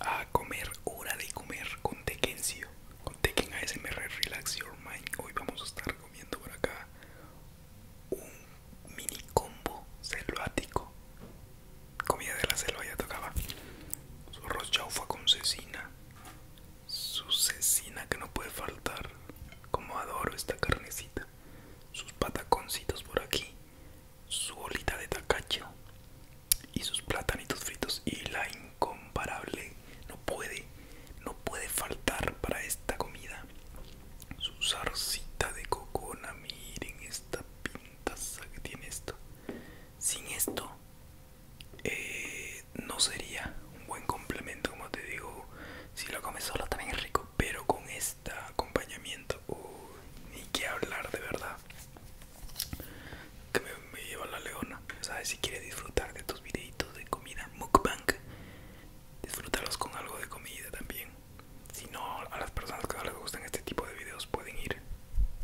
A comer, hora de comer con tequencio con Teken ASMR Relax Your Mind. Hoy vamos a estar comiendo por acá un mini combo selvático. Comida de la selva ya tocaba. Su chaufa con cecina, su cecina que no puede faltar. Como adoro esta carnecita. Sus pataconcitos por aquí. Su bolita de tacacho. Y sus platanitos fritos. Y la incomparable. No puede. No puede faltar para esta comida. Su zarcita de cocona. Miren esta pintaza que tiene esto. Sin esto eh, no sería un buen complemento como te digo si lo comes solo también rico pero con este acompañamiento ni que hablar de verdad que me, lleva la leona sabes si quieres disfrutar de tus videitos de comida mukbang disfrutarlos con algo de comida también si no a las personas que no les gustan este tipo de videos pueden ir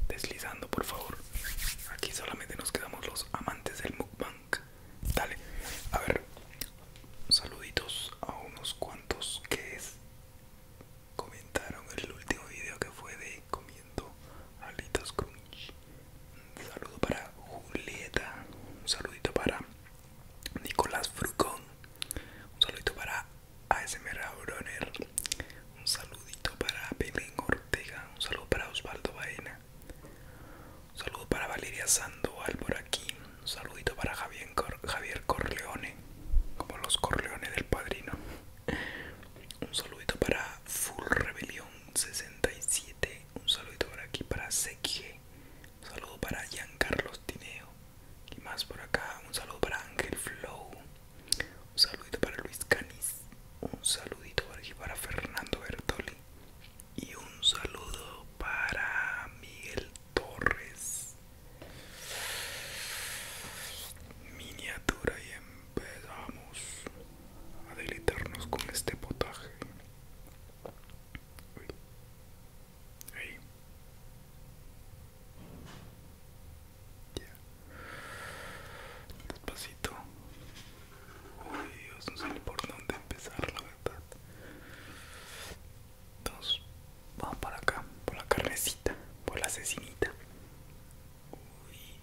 deslizando por favor Aquí solamente nos quedamos los amantes del mukbang. Dale, a ver, saluditos a unos cuantos que comentaron el último video que fue de comiendo alitas crunch. Un saludo para Julieta, un saludito para Nicolás Frucón, un saludito para ASMR Broner, un saludito para Belén Ortega. Un saludo para Osvaldo Baena. Un saludo para Valeria Sandoval por aquí. Un saludito para Javier, Corleone. Como los Corleones del padrino. Un saludito para Full Rebelión 67. Un saludito por aquí para Seque Un saludo para Giancarlos Tineo. Y más por acá. Un saludo para Ángel Flow. Un saludito para Luis Canis. Un saludito para Fernando Bertoli. Y un saludo para Miguel Torres. Miniatura y empezamos a deleitarnos con este potaje. Despacito. Uy, Dios, no sé por dónde empezar, la verdad. Entonces, vamos para acá, por la carnecita, por la asesinita. Uy.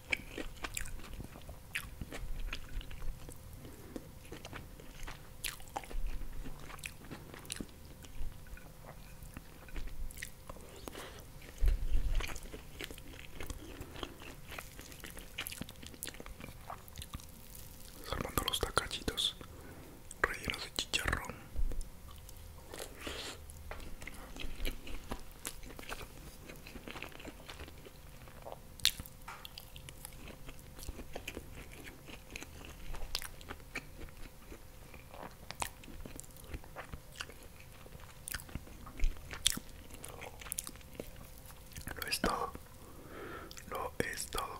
Armando los tacachitos rellenos de chicharrón. Lo es todo. Lo es todo.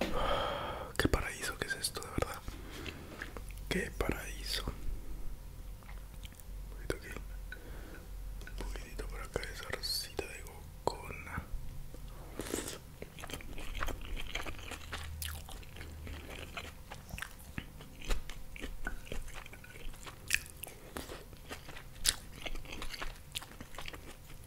Qué paraíso que es esto, de verdad. Qué paraíso. Un poquito aquí. Un poquitito por acá esa rosita de gocona.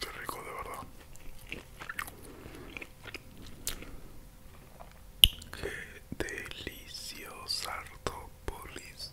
Qué rico, de verdad. Qué deliciosa Artopolis.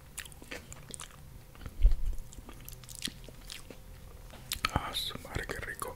Ah, su madre, qué rico.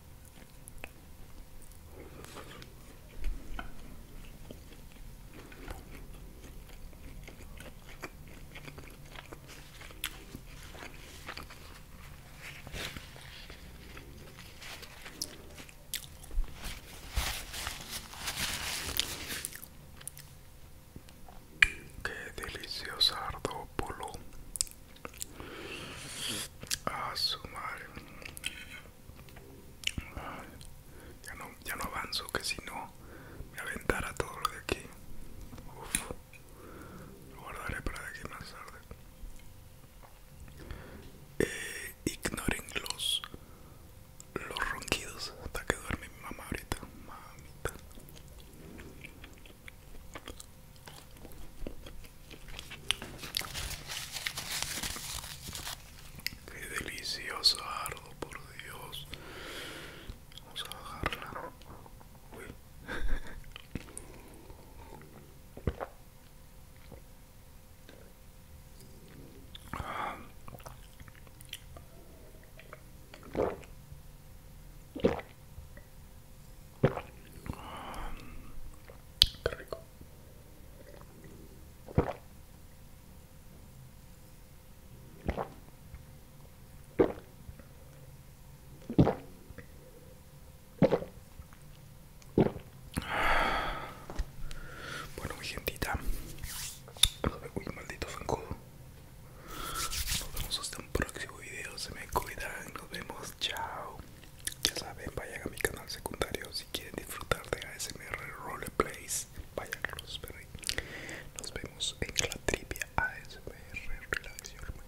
Qué deliciosa ardópolo a ah, su madre. ya, no, ya no avanzo, que si no me aventara todo lo de aquí. lo guardaré para de aquí más tarde. Eh, ignoren los, los ronquidos hasta que duerme mi mamá ahorita. Mamita. Qué delicioso ardo, por Dios. Vamos a bajarla. ah. Qué Bueno, muy gentita. Uy, maldito zancudo. Nos vemos hasta próximo video. Se me cuidan. Nos vemos. Chao. Ya saben, vayan a mi canal secundario si quieren disfrutar de ASMR Roleplays. Vayan a Nos vemos en la trivia ASMR Relaxion.